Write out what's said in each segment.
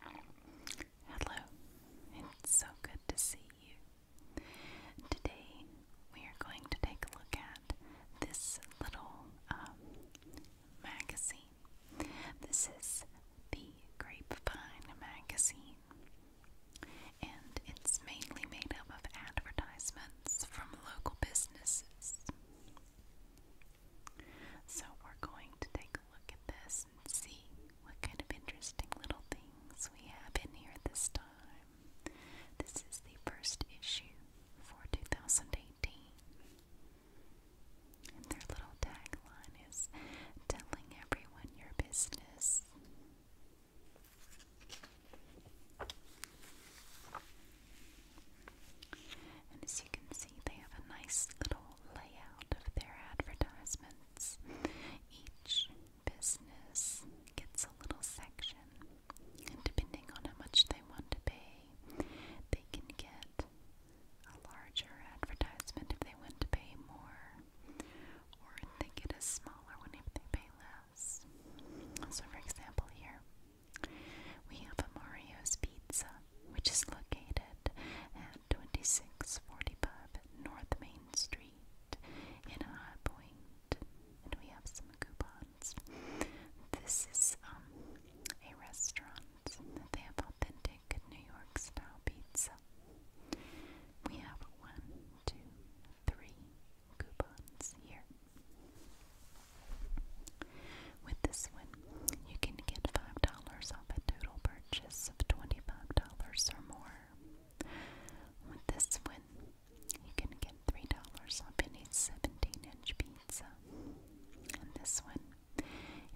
Hello, it's so good to see you. Today we are going to take a look at this little um, magazine. This is the Grapevine magazine, and it's mainly made up of advertisements from local businesses. So we're going to take a look at this and see what kind of interesting little things we have in here this time. This is the first issue for 2018. And their little tagline is telling everyone your business. And as you can see, see they have a nice little layout of their advertisements. Each business gets a little section, and depending on how much they want to pay, they can get a larger advertisement if they want to pay more, or they get a smaller one if they pay less. So, for example, here we have a Mario's Pizza which is located at 2645 North Main Street in High And we have some coupons. This is um, a restaurant that they have authentic New York style pizza. We have one, two, three coupons here. With this one, you can get $5 off a total purchase of $25 or more. With this one, you can get $3 off any 17-inch pizza. And this one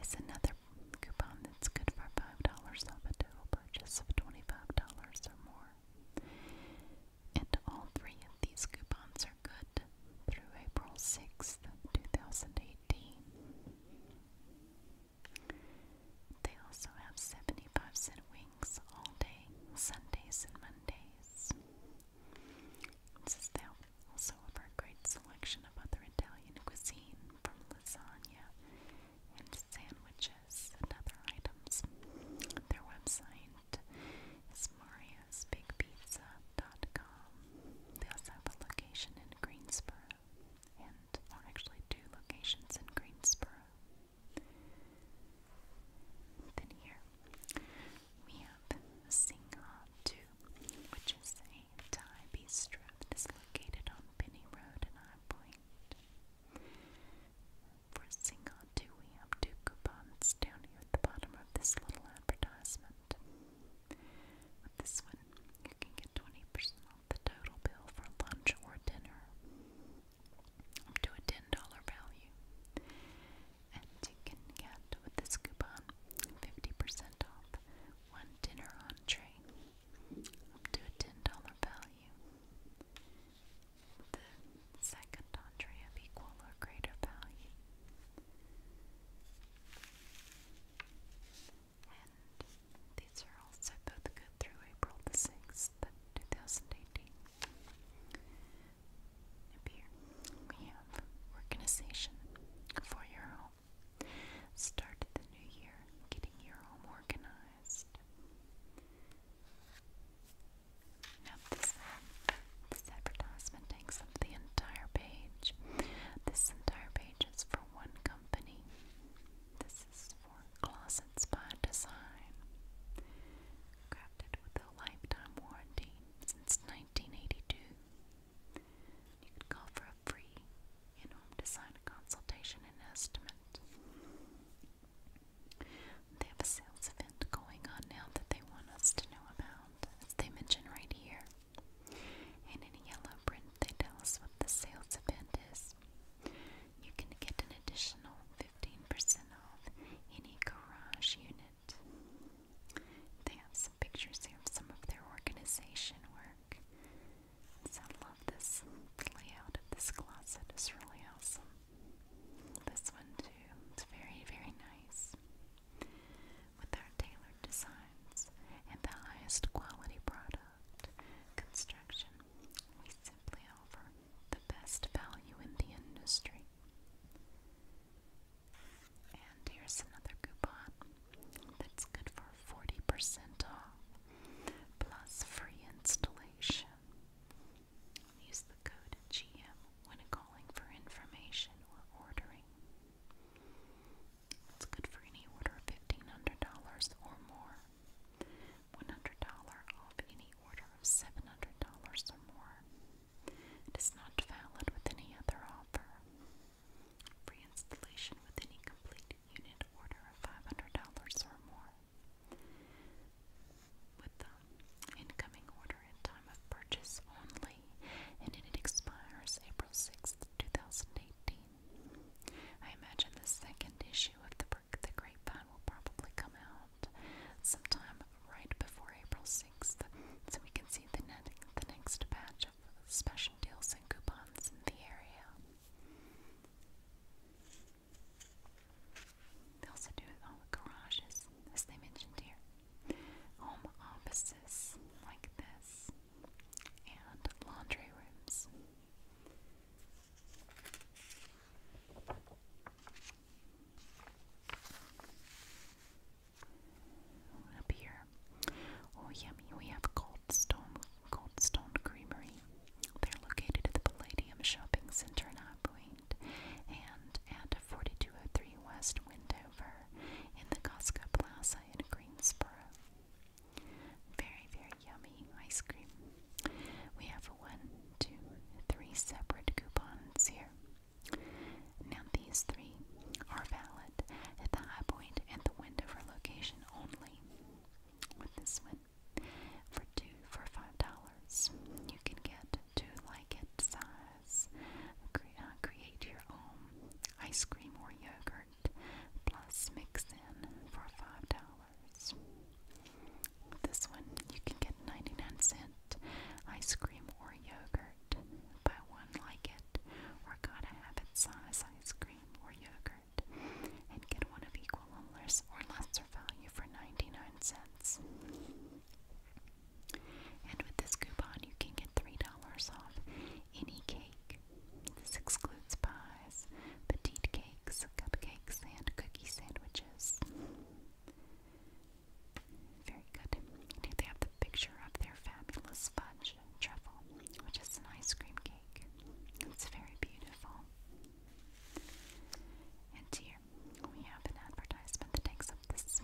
is another coupon that's good for $5 off a total purchase of $25 or more. And all three of these coupons are good through April 6th, 2018. They also have 75 cent wings all day, Sundays and Mondays. This is the, also of our great selection of other Italian cuisine from lasagna and sandwiches and other items. Their website is mariosbigpizza.com. They also have a location in Greensboro and actually two locations in Greensboro. Then here we have Singha 2, which is a Thai bistro that is located on Penny Road in High Point. For Singha 2, we have two coupons down here at the bottom of this little advertisement. But this one you can get 20% off the total bill for lunch or dinner up to a $10 value. And you can get, with this coupon, 50% off one dinner entree up to a $10 value. The second entree of equal or greater value and these are also both good through April the 6th, 2018. here, we have organization for your home. Start the new year getting your home organized. Now, this advertisement takes up the entire page. This entire page pages for one company. This is for Closets by Design. Crafted with a lifetime warranty since 1982. You can call for a free in-home design consultation and estimate. They have a sales event going on now that they want us to know about, as they mention right here. And in yellow print, they tell us what the sales event is. You can get an additional 15% off any garage unit. They have some pictures here of some of their organization work. I love this layout of this closet. It's really awesome. This one too. It's very, very nice. With our Taylor designs and the highest quality product construction. We simply offer the best value in the industry. And here's another coupon that's good for 40% off plus free installation. Use the code GM when calling for information or ordering. It's good for any order of $1,500 or more. $100 off any order of $700 or more. It is not valid with any other offer. Free installation with any complete unit order of $500 or more. With the incoming order at time of purchase only, and it expires April 6th, 2018. City. I imagine the second issue of the, the Grapevine will probably come out sometime right before April 6th, so we can see the, net, the next batch of special deals and coupons in the area. They also do all the garages, as they mentioned here. Home offices like this and laundry rooms. Up here, oh yummy, we have Cold Stone, Cold Stone Creamery. They're located at the Palladium Shopping Center in High Point and at 4203 West Windover in the Costco Plaza in Greensboro. Very, very yummy ice cream. We have one, two, three separate coupons here. Now, these three are valid at the High Point and the Wendover location only. With this one, for two for five dollars, you can get two like it size. Cre uh, create your own ice cream or yogurt plus mix in for five dollars. This one you can get 99 cent ice cream or yogurt. Buy one like it or gotta have it size ice cream or yogurt and get one of equal or less or lesser value for 99 cents. And with this coupon you can get $3 off any cake. This excludes pies, petite cakes, cupcakes, and cookie sandwiches. Very good. And they have the picture of their fabulous fudge truffle, which is an ice cream cake. It's very beautiful. And here we have an advertisement that takes up this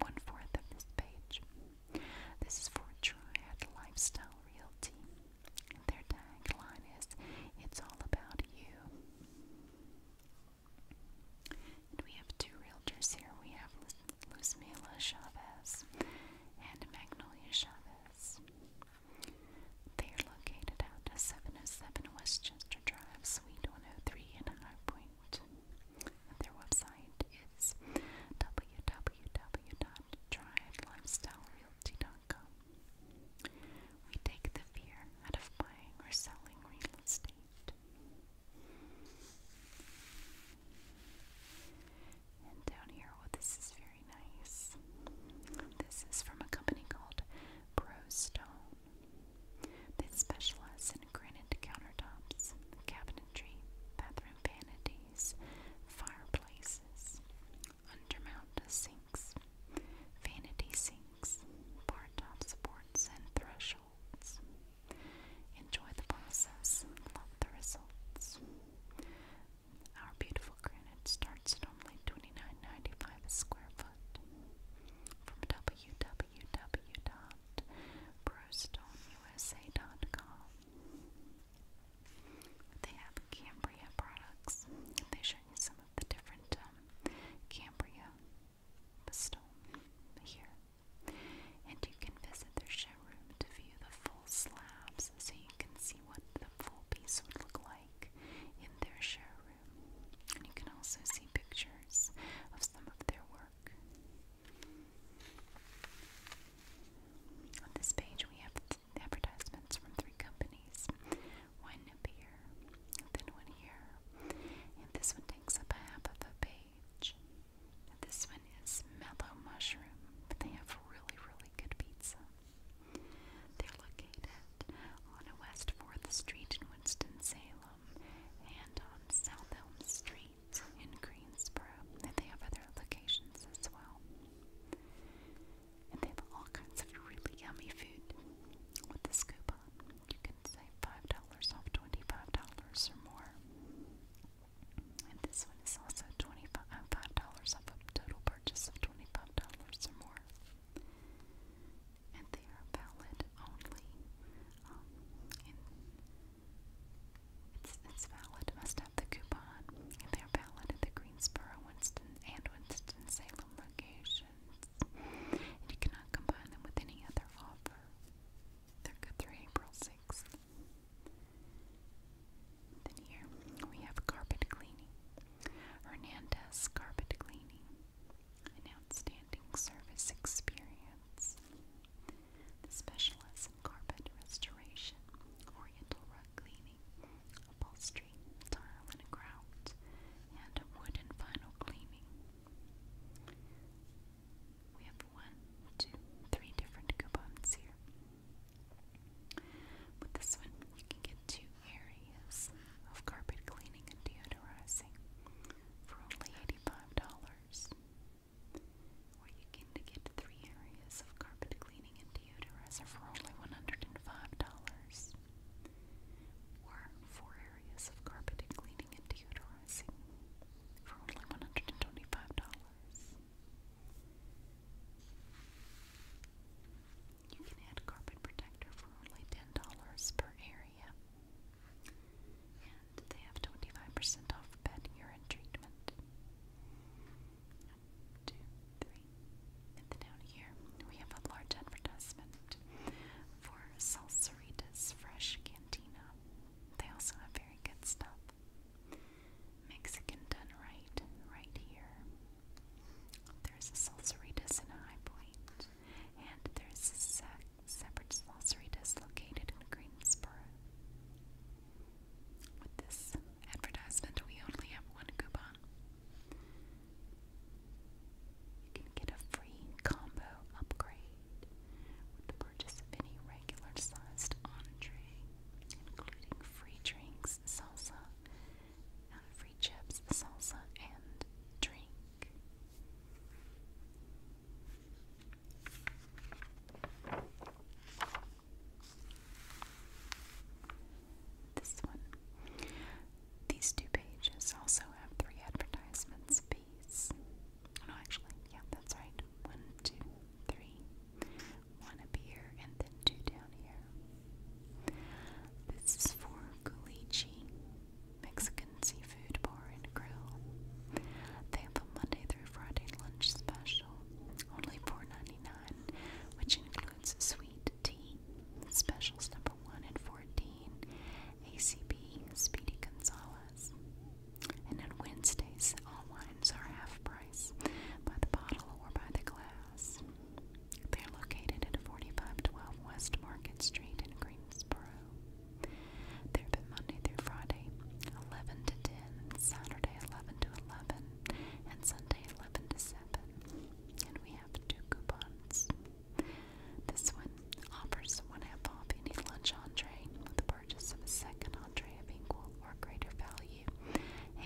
one fourth of this page. This is for Triad Lifestyle Realty. Their tagline is It's All About You. we have two realtors here. We have Luzmila Chavez and Magnolia Chavez. They are located at 707 Westchester Drive, Suite 103 in High Point. Their website is We take the fear out of buying or selling real estate. And down here, well, oh, this is very nice. This is from a company called ProStone. They specialize in granite countertops, cabinetry, bathroom vanity, fireplaces, undermount sinks, vanity sinks, bar-top supports, and thresholds. Enjoy the process, love the results. Our beautiful granite starts at only a square foot from www.brewstoneusa.com. They have Cambria products. They showed you some of the different um, Cambria stone here. And you can visit their showroom to view the full slabs so you can see what the full piece would look like in their showroom. And you can also see pictures of some of their work. On this page, we have advertisements from three companies one appear, then one here, and this one takes up half of a page. This one is Mellow Mushroom, but they have really, really good pizza. They're located on West 4th Street in Winston-Salem and on South Elm Street in Greensboro. And they have other locations as well. And they have all kinds of really yummy food. With this coupon, you can save $5 off $25 or more. And this one is also $25 uh, off a total purchase of $25 or more. And they are valid only um, in it's, it's valid. Must have the coupon. They're valid at the Greensboro, Winston, and Winston-Salem locations. And you cannot combine them with any other offer. They're good through April 6th. Then here we have carpet cleaning. Hernandez Carpet Cleaning. An outstanding service experience. The specialists in carpet restoration, oriental rug cleaning, upholstery, tile and grout, and wood and vinyl cleaning. We have one, two, three different coupons here. With this one, you can get two areas of carpet cleaning and deodorizing for only $85 where you can get three areas of carpet cleaning and deodorizer for only $105, or four areas of carpet cleaning and deodorizing for only $125. You can add carpet protector for only $10 per area. And they have 25% off pet urine treatment two, three. And then down here, we have a large advertisement for Salsarita's Fresh Cantina. They also have very good stuff. Mexican done right, right here. There's a Salsarita's in High Point, and there's a separate Salsarita's located in Greensboro. With this advertisement, we only have one coupon. You can get a free combo upgrade with the purchase of any regular sized entree, including free drinks, salsa, uh, free chips, salsa, and drink. This one. These two pages also have three advertisements apiece. No, actually, yeah, that's right. One, two, three. One up here, and then two down here. This is for Gulichi, Mexican seafood bar and grill. They have a Monday through Friday lunch special, only $4.99, which includes it's a sweet tea, specials number 1 and 14, ACP Speedy Gonzales. And on Wednesdays, all wines are half price by the bottle or by the glass. They are located at 4512 West Market Street in Greensboro. They're open Monday through Friday, 11 to 10, Saturday, 11 to 11, and Sunday 11 to 7. And we have two coupons. This one offers one half off any lunch entree with the purchase of a second entree of equal or greater value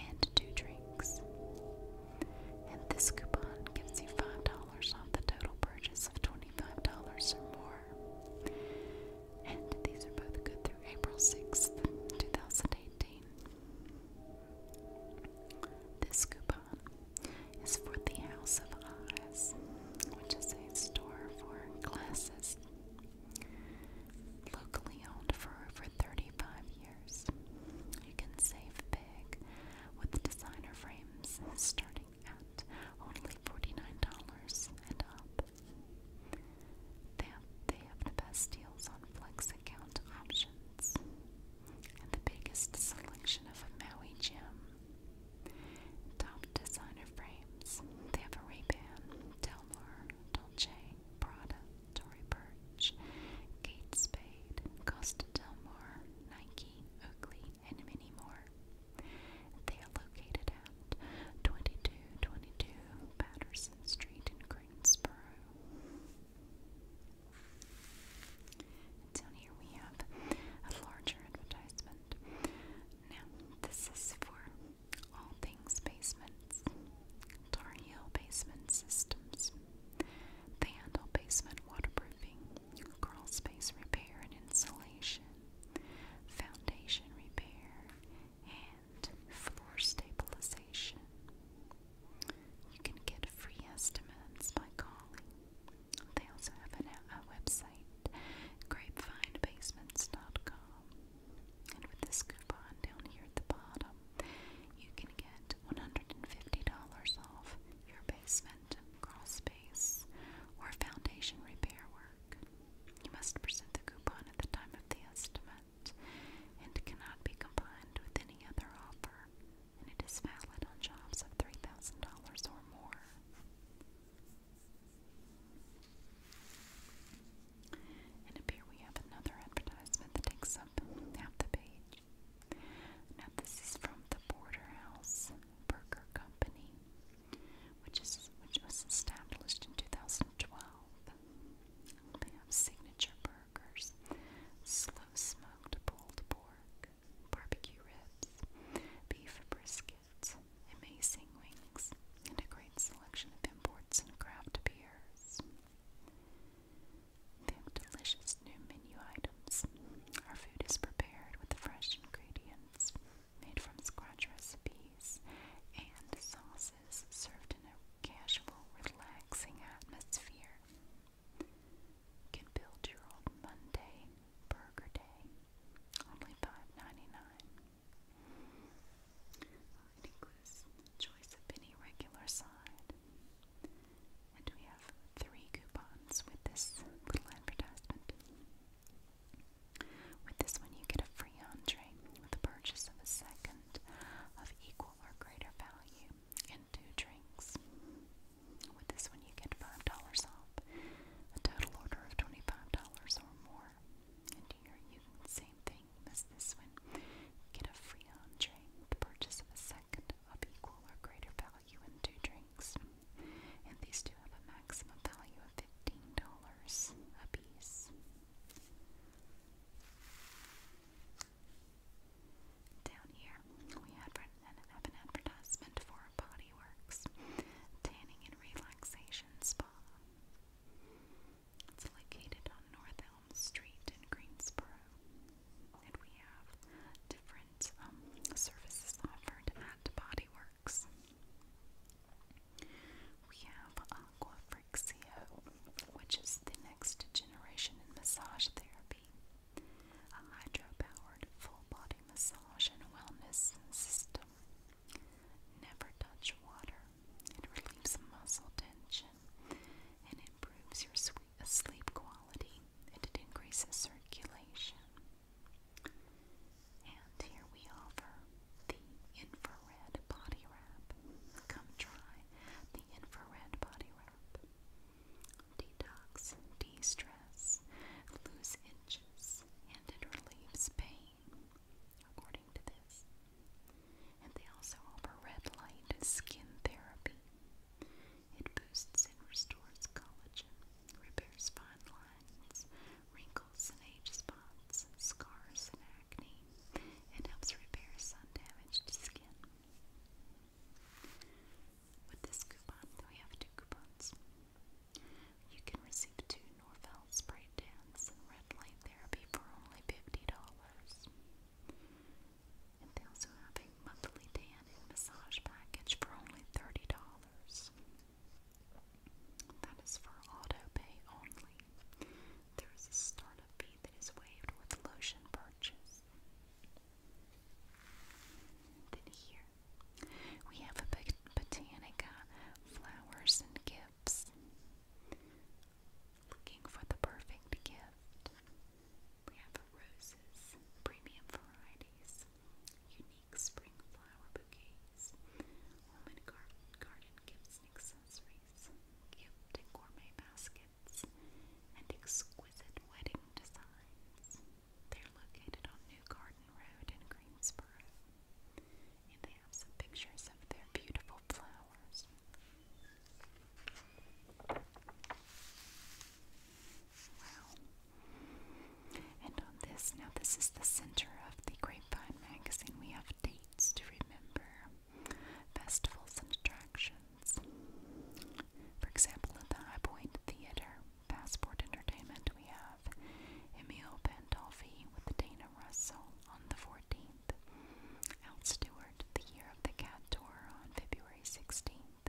and two drinks. And this coupon gives you $5 off the total purchase of $25 or more. And these are both good through April 6th, 2018. This coupon is for the House of Eyes, which is a store for glasses, locally owned for over 35 years. You can save big with designer frames starting at only $49 and up. They have, the best deals on flex account options and the biggest selection of Maui gym. Top designer frames. They have Ray-Ban, Delmar, Dolce, Prada, Tory Burch, Kate Spade, Costa Del Nike, Oakley, and many more. They are located at 2222 Patterson Street in Greensboro down here we have a larger advertisement. Now, this is for all things basements. Tar Basement Systems. They handle basement waterproofing, crawl space repair and insulation, foundation repair, and and stabilization. You can get free estimates by calling. They also have a website, grapevinebasements.com. And with this coupon down here at the bottom, you can get $150 off your basement crawl or foundation repair work. You must present the coupon at the time of the estimate and cannot be combined with any other offer, and it is valid on jobs of $3,000 or more. And up here we have another advertisement that takes up half the page. Now, this is from the Porterhouse Burger Company, which is which was established in 2012. They have signature burgers slow smoked pulled pork, barbecue ribs, beef briskets, amazing wings, and a great selection of imports and craft beers. They have delicious new menu items. Our food is prepared with fresh ingredients made from scratch recipes and sauces served in a casual, relaxing atmosphere. can build your own Monday burger day. Only 5 includes choice of any regular side. And we have three coupons with this little advertisement. With this one, you get a free entree with the purchase of a second of equal or greater value and two drinks. With this one, you get $5 off, a total order of $25 or more. And here you same thing as this one. Get a free entree, the purchase of a second of equal or greater value in two drinks. And these two have a maximum value of $15 a piece. Down here, we have an advertisement for Bodyworks Tanning and Relaxation Spa. It's located on North Elm Street in Greensboro. And we have different um, services offered at Bodyworks. We have Aqua Free Axio, which is the next generation in massage therapy, a hydro-powered full-body massage and wellness system. Never touch water. It relieves muscle tension and improves your sleep quality, it increases circulation. And here we offer the infrared body wrap. Come try the infrared body wrap. Detox, de stress, lose inches, and it relieves pain, according to this. And they also offer red light skin therapy. It boosts and restores collagen, repairs fine lines, wrinkles and age spots, scars and acne. It helps repair sun damaged skin. With this coupon, we have two coupons. You can receive two Norvel spray tans and red light therapy for only $50. And they also have a monthly tan and massage package for only $30. That is for auto pay only. There is a startup fee that is waved with lotion purchase. Then here we have a Botanica flowers and gifts. Looking for the perfect gift. We have roses, premium varieties, unique spring flower bouquets, home and garden gifts and accessories, gift gourmet baskets and exquisite wedding designs. They're located on New Garden Road in Greensboro, and they have some pictures of their beautiful flowers. Wow. And on this, now this is the center of the Grapevine magazine. We have dates to remember festivals and attractions. For example, at the High Point Theater, Passport Entertainment, we have Emil Pandolfi with Dana Russell on the 14th, Al Stewart, the Year of the Cat Tour on February 16th,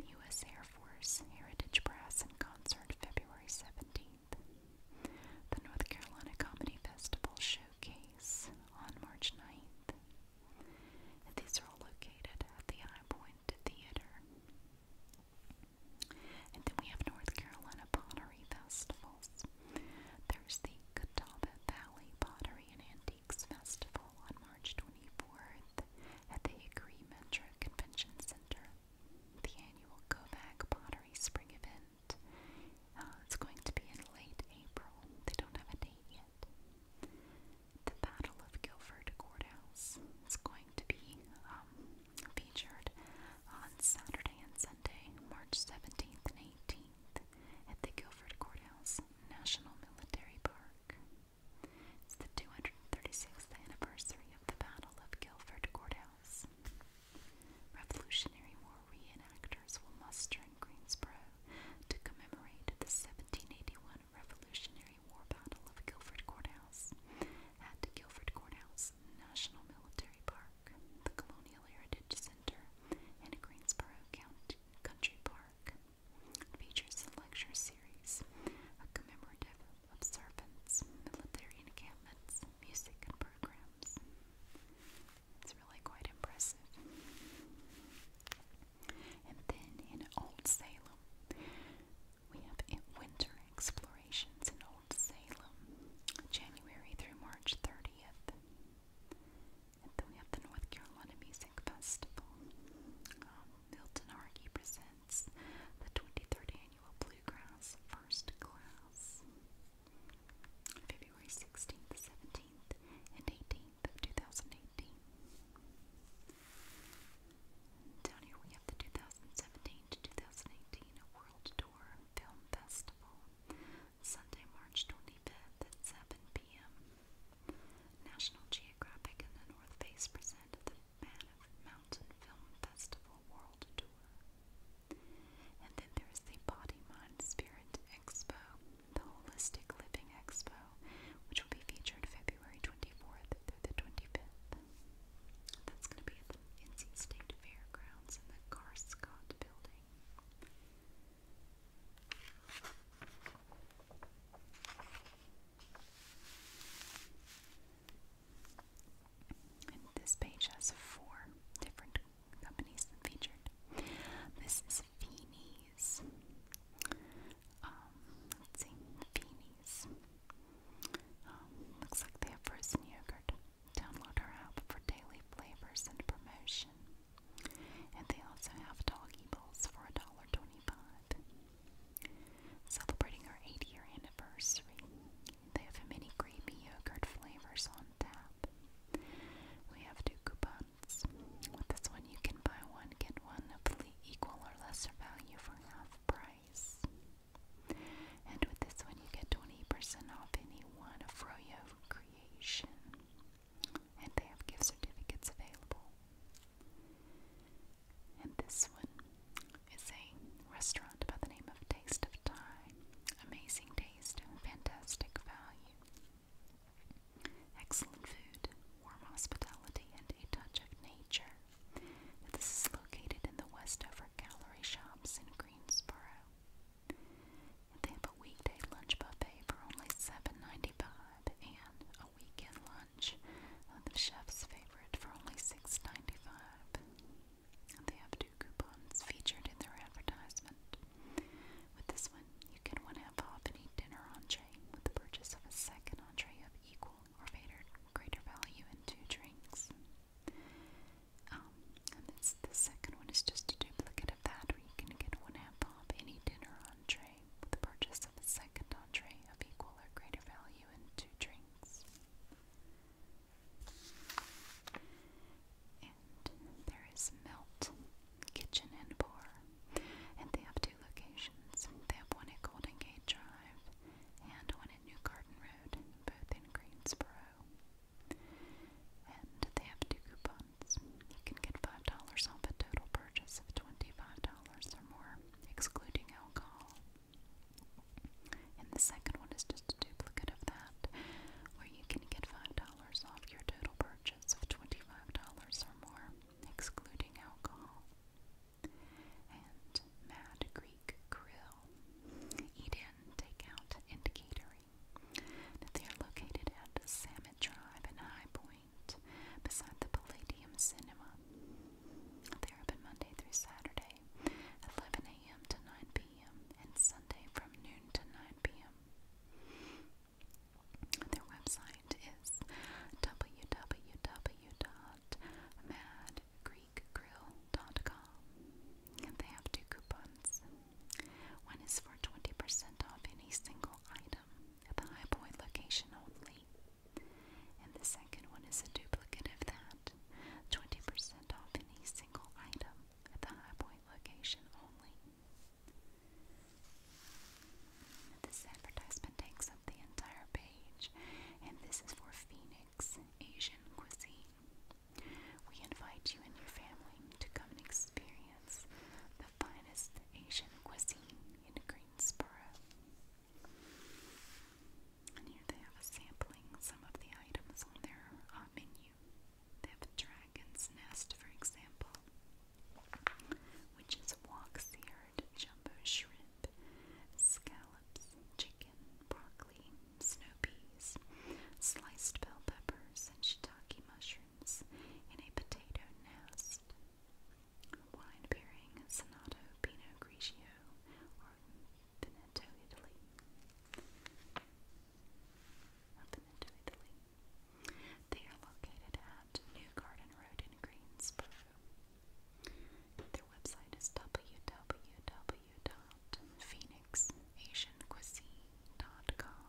the U.S. Air Force Heritage Brass in Concert February 17th, the North Carolina Comedy Festival Showcase on March 9th, these are located at the High Point Theater. And then we have North Carolina pottery festivals. There's the Catawba Valley Pottery and Antiques Festival on March 24th at the Hickory Metro Convention Center. The annual Kovac Pottery Spring Event. Uh, it's going to be in late April. They don't have a date yet. The Battle of Guilford Courthouse is going to be um, featured on Saturday and Sunday, March 17th and 18th, at the Guilford Courthouse National Military Park. It's the 236th anniversary of the Battle of Guilford Courthouse. Revolutionary War reenactors will muster in Greensboro to commemorate the 1781 Revolutionary War Battle of Guilford Courthouse at Guilford Courthouse National Military Park, the Colonial Heritage Center, and Greensboro County Country Park. Features a lecture series, a commemorative observance, military encampments, music, and programs. It's really quite impressive. And then in Old Salem, we have winter explorations in Old Salem, January through March 30th. And then we have the North Carolina Music Festival. Um, Milton Argy presents the 23rd Annual Bluegrass First Class, February 16th, 17th, and 18th. 18th of 2018. Down here we have the 2017 to 2018 World Tour Film Festival, Sunday, March 25th at 7 p.m. National Geographic and the North Face present the Mammoth Mountain Film Festival World Tour. And then there's the Body Mind Spirit Expo the Holistic Living Expo, which will be featured February 24th through the 25th. That's going to be at the NC State Fairgrounds in the Carscott building. this page has four different companies featured. This is is Feeney's. Um, let's see, Feeney's. Um, looks like they have frozen yogurt. Download our app for daily flavors and promotion. And they also have doggy bowls for $1.25. Celebrating our 80 year anniversary, they have many creamy yogurt flavors on tap. We have two coupon with this one, you can buy one, get one of equal or lesser value for half price. And with this one, you get 20% off any one of Froyo Creation. And they have gift certificates available. And this one is a restaurant by the name of Taste of Thai. Amazing taste, fantastic value. Excellent food, warm hospitality, and a touch of nature. This is located in the Westover Gallery Shops in Greensboro. they have a weekday lunch buffet for only $7.95 and a weekend lunch, the chef's favorite, for only $6.95. they have two coupons featured in their advertisement. With this one, you can one half off any dinner entree with the purchase of a second entree of equal or greater value and two drinks. Um, and the second one is just a duplicate of that, where you can get one half off any dinner entree with the purchase of a second entree of equal or greater value and two drinks. And there is melt. Kitchen and Bar, and they have two locations. They have one at Golden Gate Drive and one at New Garden Road, both in Greensboro. And they have two coupons. You can get $5 off a total purchase of $25 or more, excluding alcohol. And the second one is just a duplicate of that, where you can get $5 off your total purchase of $25 or more, excluding alcohol, and Mad Greek Grill, eat-in, take and catering. they are located at Samet Drive in High Point, beside the Palladium Cinema. They are open Monday through Saturday, 11 a.m. to 9 p.m., and Sunday from noon to 9 p.m. Their website is www.madgreekgrill.com. They have two coupons. One is for 20% off any single item at the High Point location only. And the second one is a duplicate of that 20% off any single item at the High Point location only. This advertisement takes up the entire page, and this is for Phoenix Asian Cuisine. We invite you and your family to come and experience the finest Asian cuisine in Greensboro. And here they have a sampling some of the items on their uh, menu. They have a dragon's nest, for example which is wok-seared jumbo shrimp, scallops, chicken, broccoli, snow peas, sliced bell peppers, and shiitake mushrooms in a potato nest. Wine pairing, Sonato, Pinot Grigio, or Veneto, Italy. Not Italy. They are located at New Garden Road in Greensboro. Their website is www.phoenixasiancuisine.com.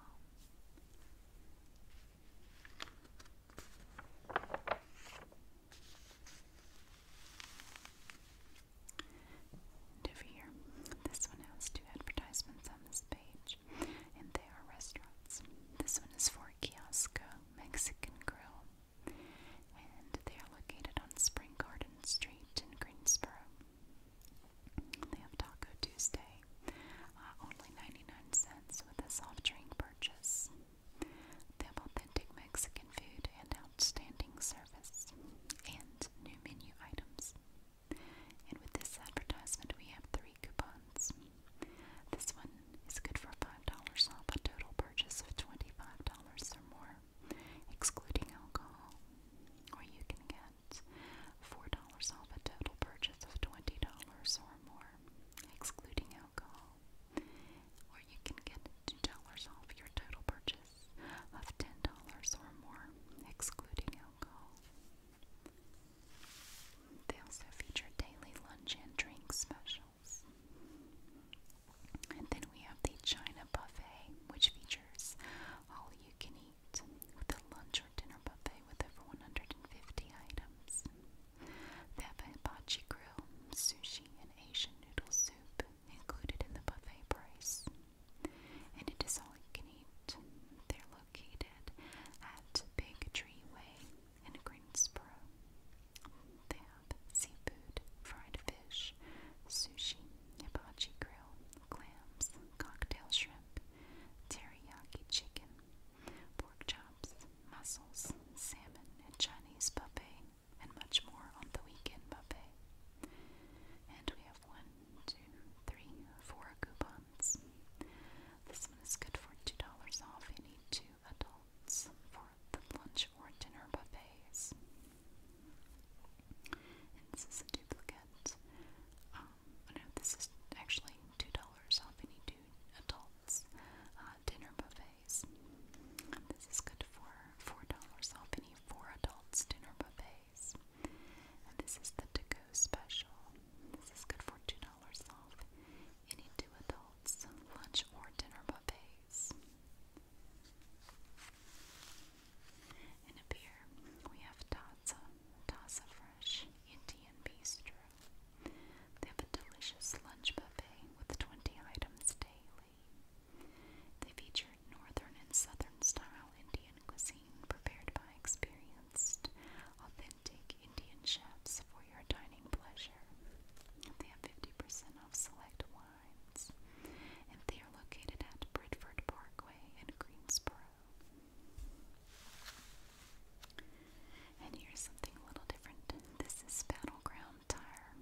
And over here, this one has two advertisements on this page and they are restaurants. This one is for Kiosco Mexican Grill, and they are located on Spring Garden Street in Greensboro. They have Taco Tuesday, uh, only 99 cents with a soft drink purchase. They have authentic Mexican food and outstanding service, and new menu items. And with this advertisement, we have three free coupons. This one is good for $5 off a total purchase of $25 or more, excluding alcohol. Or you can get $4 off a total purchase of $20 or more, excluding alcohol. Or you can get $2 off your total purchase of $10 or more, excluding alcohol. They also feature daily lunch and drink specials. And then we have the China Buffet, which features all you can eat with a lunch or dinner buffet with over 150 items. They have a hibachi grill, sushi, and Asian noodle soup included in the buffet price. And it is all you can eat located at Big Tree Way in Greensboro. They have seafood, fried fish, sushi, hibachi grill, clams, cocktail shrimp, teriyaki chicken, pork chops, mussels, salmon, Chinese buffet, and much more on the weekend buffet. And we have one, two, three, four coupon this one is good for $2 off any two adults for the lunch or dinner buffets. this is a duplicate. Um, oh no, this is actually $2 off any two adults uh, dinner buffets. This is good for $4 off any four adults dinner buffets. And this is the to-go special. This is good for $2 off any two adults, lunch or dinner buffets. And up here we have Taza, Taza Fresh Indian Bistro. They have a delicious lunch buffet with 20 items daily. They feature northern and southern style Indian cuisine prepared by experienced, take Indian chefs for your dining pleasure. They have 50% off select wines, and they are located at Bridford Parkway in Greensboro. And here's something a little different. This is Battleground Tire.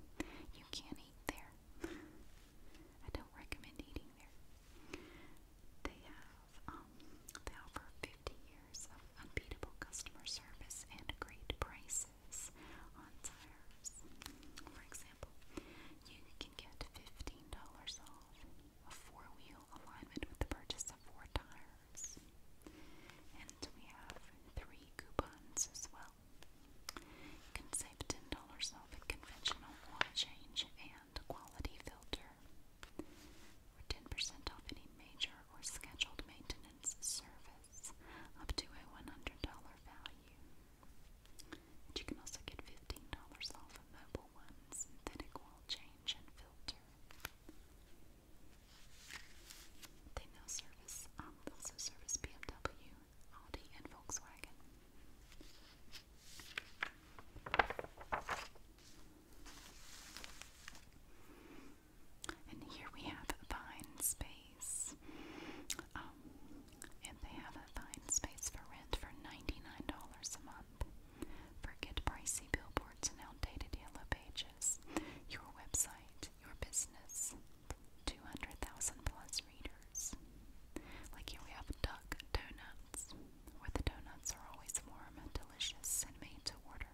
You can eat there. I don't recommend eating there. They have, um, they offer 50 unbeatable customer service and great prices on tires. For example, you can get $15 off a four-wheel alignment with the purchase of four tires. And we have three coupons as well. You can save $10 off a conventional oil change and quality filter or 10% off any major or scheduled maintenance service up to a $100 value. you can also get $15 off a mobile one synthetic oil change and filter. They now service, um, also service BMW, Audi, and Volkswagen. And here we have Vine Space. Um, and they have a fine Space for rent for $99 a month. Forget pricey billboards and outdated yellow pages. Your website, your business, 200,000 plus readers. Like here we have Duck Donuts, where the donuts are always warm and delicious delicious and made to order.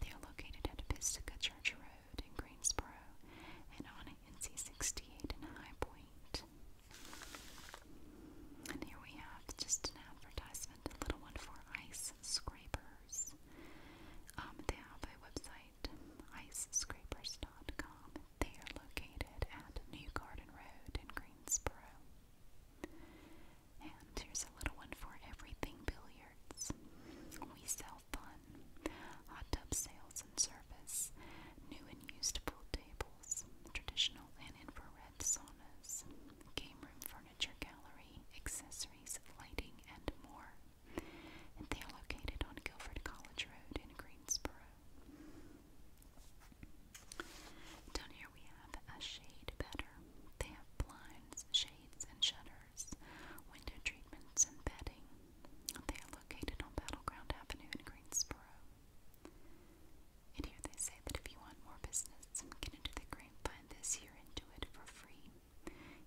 They are located at Pisgah Church Road in Greensboro and on NC 68 in High Point. And here we have just an advertisement, a little one for ice scrapers. Um, they have a website, icescrapers.com. They are located at New Garden Road in Greensboro. And here's a little one for everything billiards. We sell fun, hot tub sales and service, new and used pool tables, traditional and infrared saunas, game room furniture gallery, accessories, lighting, and more. they are located on Guilford College Road in Greensboro. Down here we have a shade better. They have blinds, shade and shutters, window treatments, and bedding. They are located on Battleground Avenue in Greensboro. And here they say that if you want more business and get into the grapevine this year and do it for free,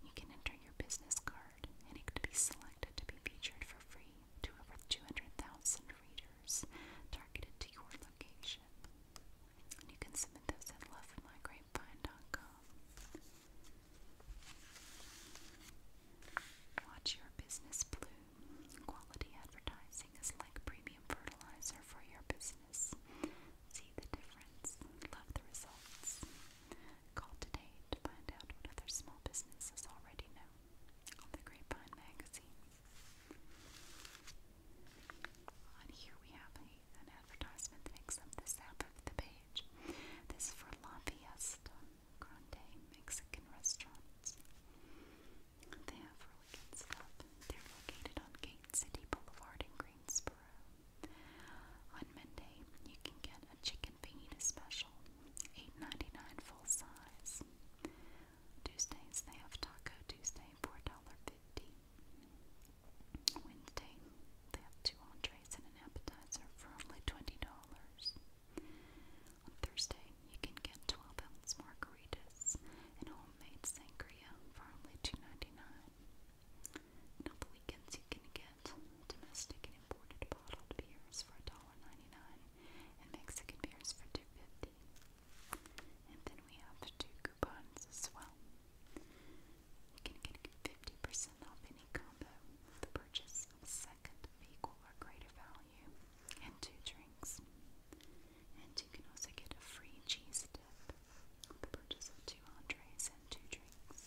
you can enter your business card and it could be selected to be featured for free to over 200,000 readers targeted to your location. And you can submit those at lovemygrapevine.com. Watch your business bloom. Quality advertising is like premium fertilizer for your business. See the difference. Love the results. Call today to find out what other small businesses already know on the Grapevine magazine. And here we have an advertisement that makes up this half of the page. This is for La Fiesta Grande Mexican Restaurants. They have really good stuff. They're located on Gate City Boulevard in Greensboro. On Monday, you can get a chicken fajita special, $8.99 full size. Tuesdays, they have Taco Tuesday, $4.50. Wednesday, they have two entrees and an appetizer for only $20. On Thursday, you can get 12 ounce margaritas and homemade sangria for only $2.99. And on the weekends, you can get domestic and imported bottled beers for $1.99 and Mexican beers for $2.50. And then we have two coupons as well. You can get 50% off any combo with the purchase of a second of or greater value and two drinks. And you can also get a free cheese dip with the purchase of two entrees and two drinks.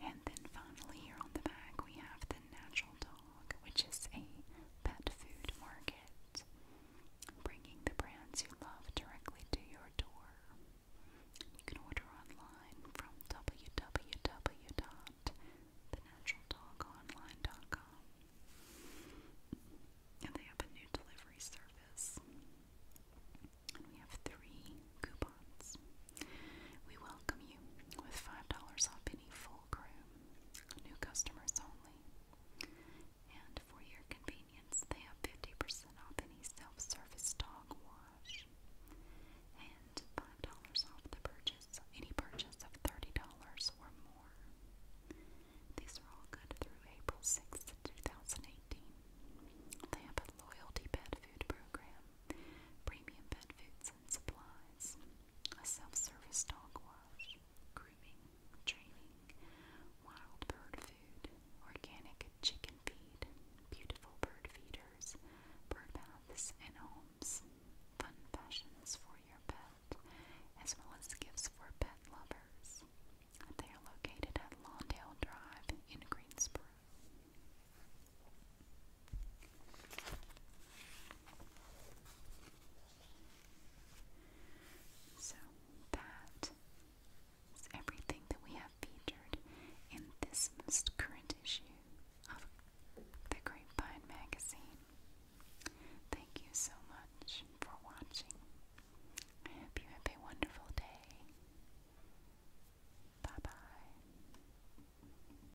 And then finally, here on the back, we have the natural dog which is a pet food market, bringing the brands you love directly to your door. You can order online from www.thenatural.dogonline.com. And they have a new delivery service. we have three coupons. We welcome you with $5 off any full groom, new customers only. And for your convenience, they have 50% off any self service dog wash and $5 off the purchase, of any purchase of $30 or more. These are all good through April 6th, 2018. They have a loyalty pet food program, premium pet food products and supplies, a self-service dog wash, grooming, training, wild bird food, organic chicken feed, beautiful bird feeders, bird baths and homes, fun fashions for your pet, as well as gifts for pet lovers. They are located at Lawndale Drive in Greensboro. So that is everything that we have featured in this most current issue of the Grapevine magazine. Thank you so much for watching. I hope you have a wonderful day. Bye bye.